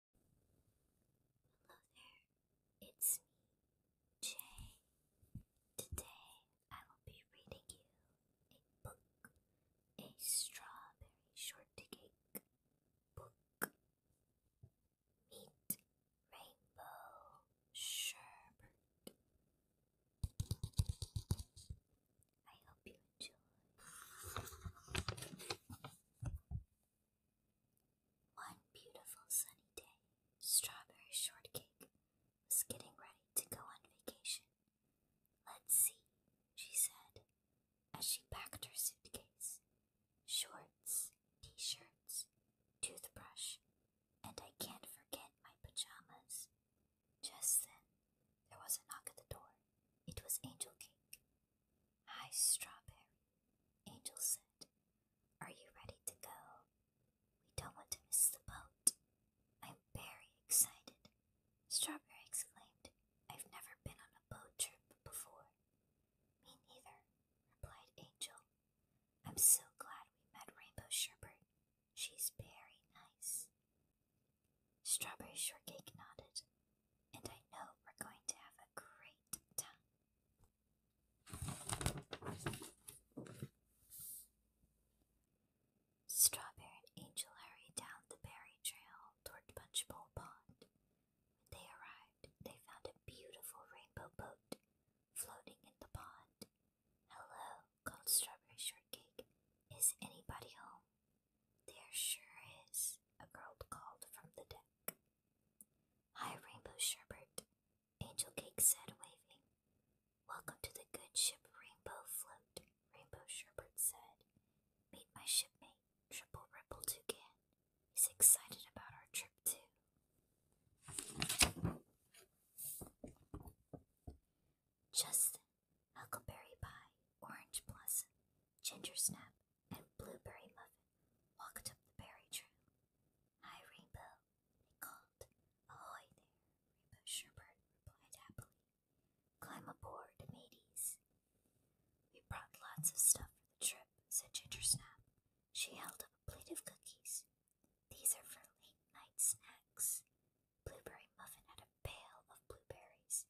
Hello there, it's me, Jay. Today I will be reading you a book, a strawberry shortcake book. Meet Rainbow Sherbert. I hope you enjoy. One beautiful sunny day, Strawberry Shortcake was getting ready to go on vacation. Let's see, she said, as she packed her suitcase. Shorts, t shirts, toothbrush, and I can't forget my pajamas. Just then, there was a knock at the door. It was Angel Cake, Hi, Strawberry, Angel said. Are you ready to go? We don't want to miss the boat. I'm very excited, Strawberry exclaimed. I've never been on a boat trip before. Me neither, replied Angel. I'm so glad we met Rainbow Sherbert. She's very nice. Strawberry Shortcake nodded, and I know we're going to have a great time. Strawberry and Angel hurried down the berry trail toward Punch Bowl Pond. When they arrived, they found a beautiful rainbow boat floating in the pond. Hello, called Strawberry Shortcake. Is anybody home? There sure is, a girl called from the deck. Hi, Rainbow Sherbert, Angel Cake said, waving. Welcome to the good ship Rainbow Float, Rainbow Sherbert said. Meet my shipmate, Triple Ripple Toucan. He's excited about our trip, too. Justin, huckleberry pie, orange blossom, ginger snap, and blueberry muffin walked up the berry trail. Hi, Rainbow, they called. Ahoy there, Rainbow Sherbert replied happily. Climb aboard, mateys. We brought lots of stuff for the trip, said Ginger Snap. She held up a plate of cookies. These are for late night snacks. Blueberry muffin had pail of blueberries.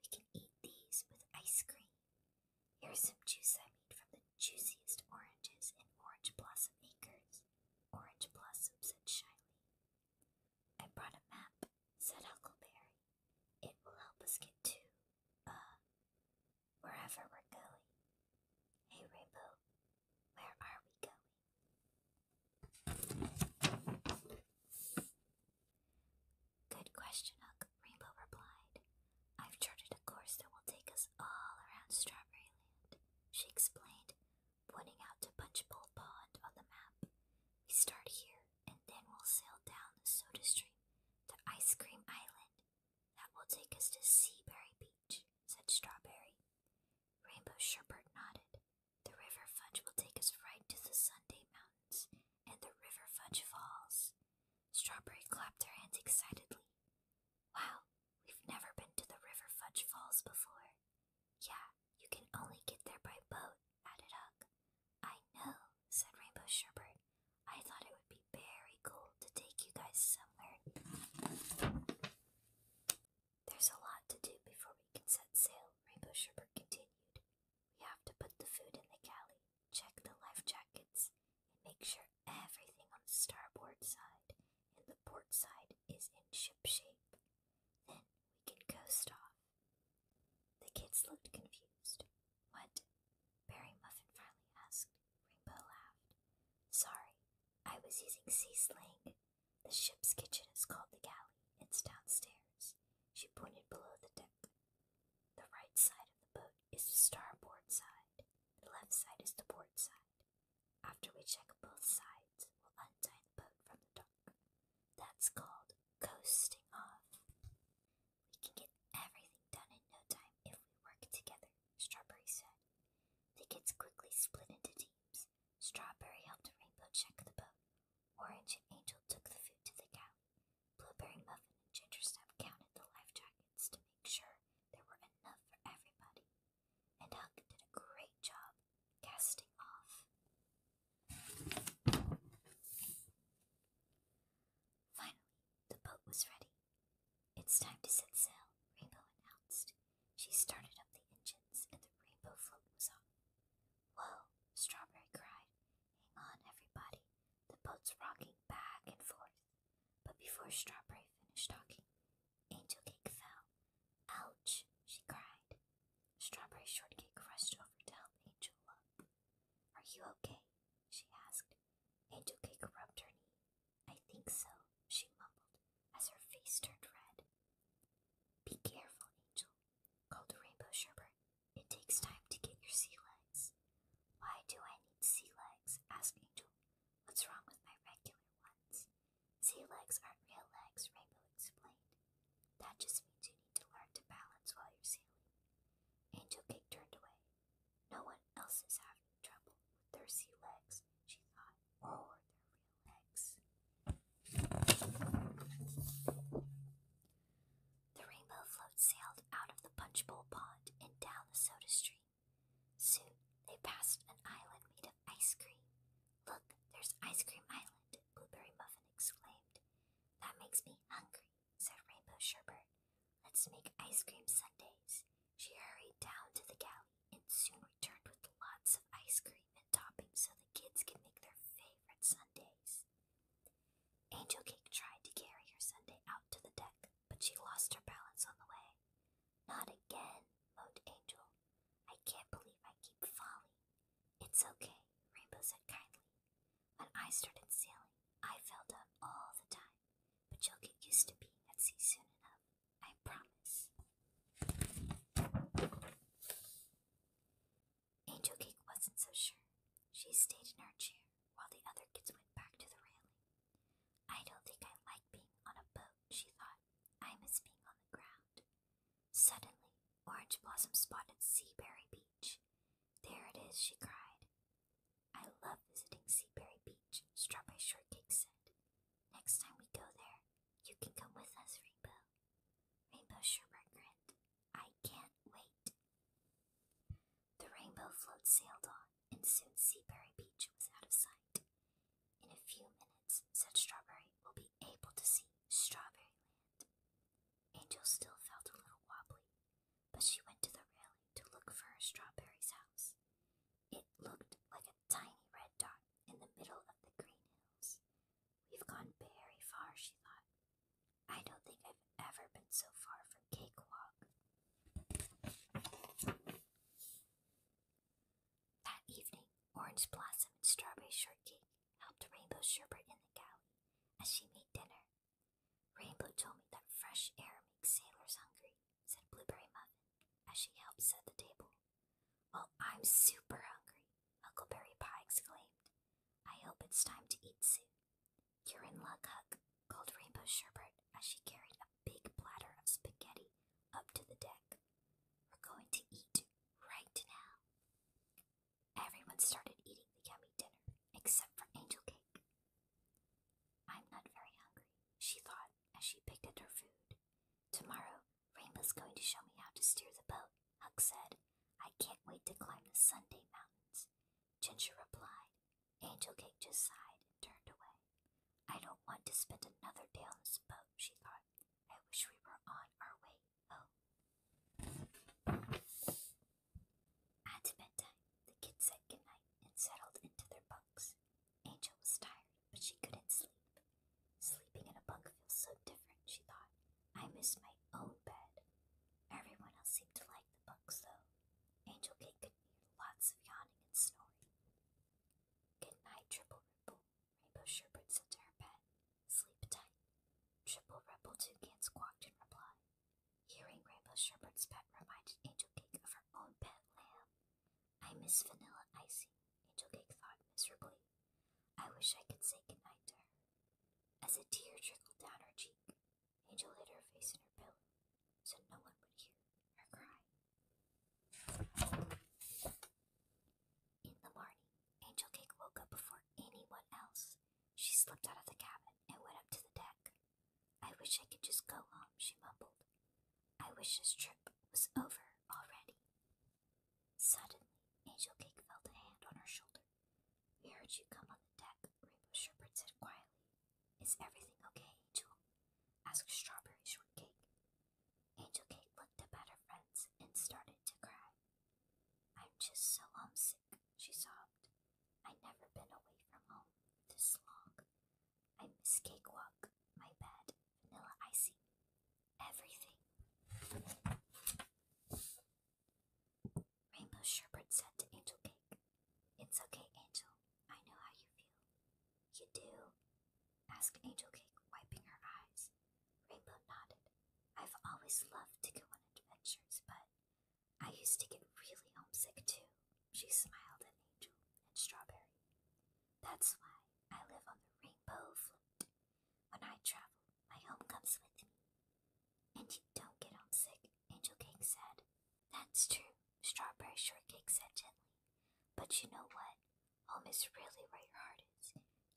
We can eat these with ice cream. Here's some juice I made from the juiciest oranges in Orange Blossom Acres. Orange Blossom said shyly. I brought a map, said Huckleberry. It will help us get to, uh, wherever we're going. Hey, Rainbow, where are we going? Good question, Hook, Rainbow replied. I've charted a course that will take us all around Strawberry Land, she explained, pointing out to Punchbowl Pond on the map. We start here, and then we'll sail down the soda stream to Ice Cream Island. That will take us to Seaberry Beach, said Strawberry. Rainbow Sherbert nodded. The river fudge will take us right to the Sunday Mountains and the River Fudge Falls. Strawberry clapped her hands excitedly. Wow, we've never been to the River Fudge Falls before. Yeah, you can only get there by boat, added Huck. I know, said Rainbow Sherbert. I thought it would be very cool to take you guys somewhere. There's a lot to do before we can set sail, Rainbow Sherbert continued. We have to put the food in the galley, check the life jackets, and make sure everything on the starboard side and the port side is in ship shape. Then we can coast off. The kids looked confused. What? Barry Muffin finally asked. Rainbow laughed. Sorry, I was using sea slang. The ship's kitchen is called the galley. It's downstairs. She pointed below the deck. The right side of the boat is the starboard side. The left side is the port side. After we check both sides, we'll untie the boat from the dock. That's called coasting off. We can get everything done in no time if we work together, Strawberry said. The kids quickly split into teams. Strawberry helped Rainbow check the boat. Orange and Angel took the food to the cow. Blueberry Muffin and Gingersnap counted the life jackets to make sure there were enough for everybody. And Hug did a great job casting off. Finally, the boat was ready. It's time to set sail, Rainbow announced. She started up the engines, and the rainbow float was on. Whoa! Strawberry cried. Hang on, everybody. The boat's rocking back and forth. But before Strawberry finished talking, Angel Cake fell. Ouch! she cried. Strawberry Shortcake rushed over to help Angel up. Are you okay? she asked. Angel Cake rubbed her knee. I think so, she mumbled as her face turned red. Be careful, Angel, called Rainbow Sherbert. It takes time to get your sea legs. Why do I need sea legs? asked Angel. What's wrong with my regular ones? Sea legs aren't real legs, Rainbow explained. That just means you need to learn to balance while you're sailing. Angel Cake turned away. No one else is having trouble with their sea legs, she thought or the real legs. The rainbow float sailed out of the punch bowl pond and down the soda stream. Soon they passed an island made of ice cream. Look, there's Ice Cream Island, Blueberry Muffin exclaimed. That makes me hungry, said Rainbow Sherbert. Let's make ice cream sundaes. She hurried down to the galley and soon returned with lots of ice cream and topping so the kids can make their favorite sundays. Angel Cake tried to carry her sundae out to the deck, but she lost her balance on the way. Not again, moaned Angel. I can't believe I keep falling. It's okay, Rainbow said kindly. When I started sailing, I fell down all the time, but you'll get used to being at sea soon enough. I promise. Angel Cake wasn't so sure. She stayed in her chair while the other kids went back to the railing. I don't think I like being on a boat, she thought. I miss being on the ground. Suddenly, Orange Blossom spotted Seaberry Beach. There it is, she cried. I love visiting Seaberry Beach, Strawberry Shortcake said. Next time we go there, you can come with us, Rainbow. Rainbow sure regret. I can't wait. The rainbow float sailed on, and soon Seaberry Beach was out of sight. In a few minutes, said Strawberry, will be able to see Strawberry Land. Angel still felt a little wobbly, but she went to the railing to look for her Strawberries' house. It looked like a tiny red dot in the middle of the green hills. We've gone very far, she thought. I don't think I've ever been so far from Cakewalk. That evening, Orange Blossom and Strawberry Shortcake helped Rainbow Sherbert in the galley as she made dinner. Rainbow told me that fresh air makes sailors hungry, said Blueberry Muffin as she helped set the table. Well, I'm super hungry, Huckleberry Pie exclaimed. I hope it's time to eat soon. You're in luck, called Rainbow Sherbert as she carried a big platter of spaghetti up to the deck. We're going to eat right now. Everyone started eating the yummy dinner except for Angel Cake. I'm not very hungry, she thought as she picked at her food. Tomorrow, Rainbow's going to show me how to steer the boat, Huck said. I can't wait to climb the Sunday Mountains. Ginger replied. Angel Cake just sighed and turned away. I don't want to spend another day on this boat, she thought. I wish we were on our way home. At bedtime, the kids said goodnight and settled into their bunks. Angel was tired, but she couldn't sleep. Sleeping in a bunk feels so different, she thought. I miss my own bed. Everyone else seemed to like the bunk, though. Angel Kate could hear lots of yawning and snoring. Good night, Triple Ripple. Rainbow Sherbert said to her pet. Sleep tight. Triple Ripple Toucan squawked in reply. Hearing Rainbow Sherbert's pet reminded Angel of her own pet lamb. I miss Vanilla icing. Angel Cake thought miserably. I wish I could say goodnight to her. As a tear trickled down her cheek, Angel hid her face in her pillow so no one would hear her cry. In the morning, Angel Cake woke up before anyone else. She slipped out of the cabin and went up to the deck. I wish I could just go home, she mumbled. I wish this trip was over already. Suddenly, Angel Cake felt a hand on her shoulder. We heard you come on the deck, Rainbow Sherbert said quietly. Is everything okay, Angel? asked Strawberry Shortcake. Angel Cake looked up at her friends and started to cry. I'm just so homesick, she sobbed. I've never been away from home this long. I miss Cake Walk. my bed, vanilla icing, everything. Rainbow Sherbert said to Angel Cake, It's okay, Angel. I know how you feel. You do? asked Angel Cake, wiping her eyes. Rainbow nodded. I've always loved to go on adventures, but I used to get really homesick too, she smiled at Angel and Strawberry. That's why I live on the rainbow float. When I travel, my home comes with me. And you don't get homesick, Angel Cake said. That's true, Strawberry Shortcake said gently. But you know what? Home is really where your heart is.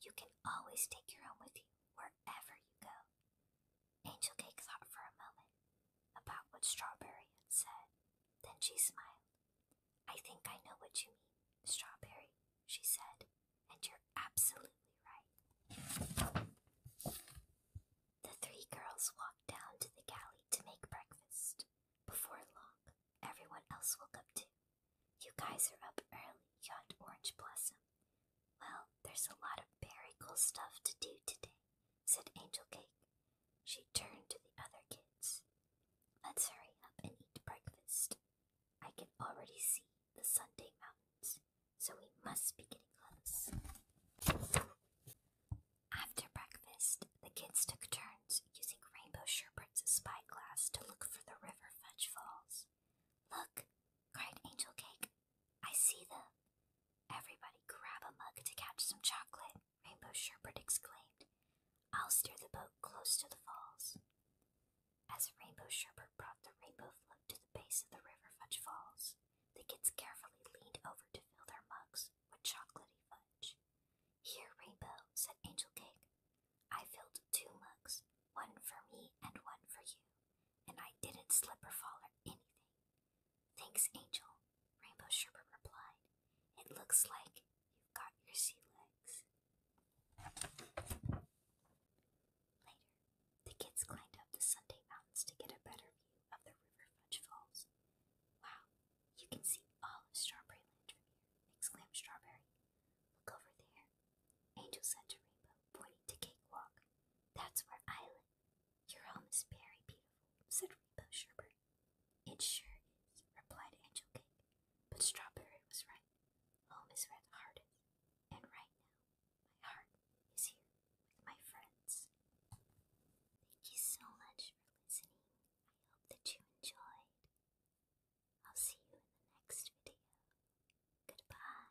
You can always take your home with you wherever you go. Angel Cake thought for a moment about what Strawberry had said. Then she smiled. I think I know what you mean, Strawberry, she said, and you're absolutely right. The three girls walked down to the galley to make breakfast. Before long, everyone else woke up too. You guys are up early, yawned Orange Blossom. Well, there's a lot of berry cool stuff to do today said Angel Cake. She turned to the other kids. Let's hurry up and eat breakfast. I can already see the Sunday mountains, so we must be getting close. After breakfast, the kids took turns using Rainbow Sherbert's spyglass to look for the river fudge falls. Look, cried Angel Cake, I see them. Everybody grab a mug to catch some chocolate, Rainbow Sherbert exclaimed. I'll steer the boat close to the falls. As Rainbow Sherbert brought the rainbow float to the base of the River Fudge Falls, the kids carefully leaned over to fill their mugs with chocolatey fudge. Here, Rainbow, said Angel Cake. I filled two mugs, one for me and one for you, and I didn't slip or fall or anything. Thanks, Angel, Rainbow Sherbert replied. It looks like you've got your sea legs. Later, the kids climbed up the Sunday Mountains to get a better view of the River Fudge Falls. Wow, you can see all of Strawberry from here, exclaimed Strawberry. Look over there, Angel said to Rainbow, pointing to Cakewalk. That's where I live. Your home is very beautiful, said Repo Sherbert. It sure is, replied Angel Cake. But Strawberry was right. Home is where the heart is. And right now, my heart is here with my friends. Thank you so much for listening. I hope that you enjoyed. I'll see you in the next video. Goodbye.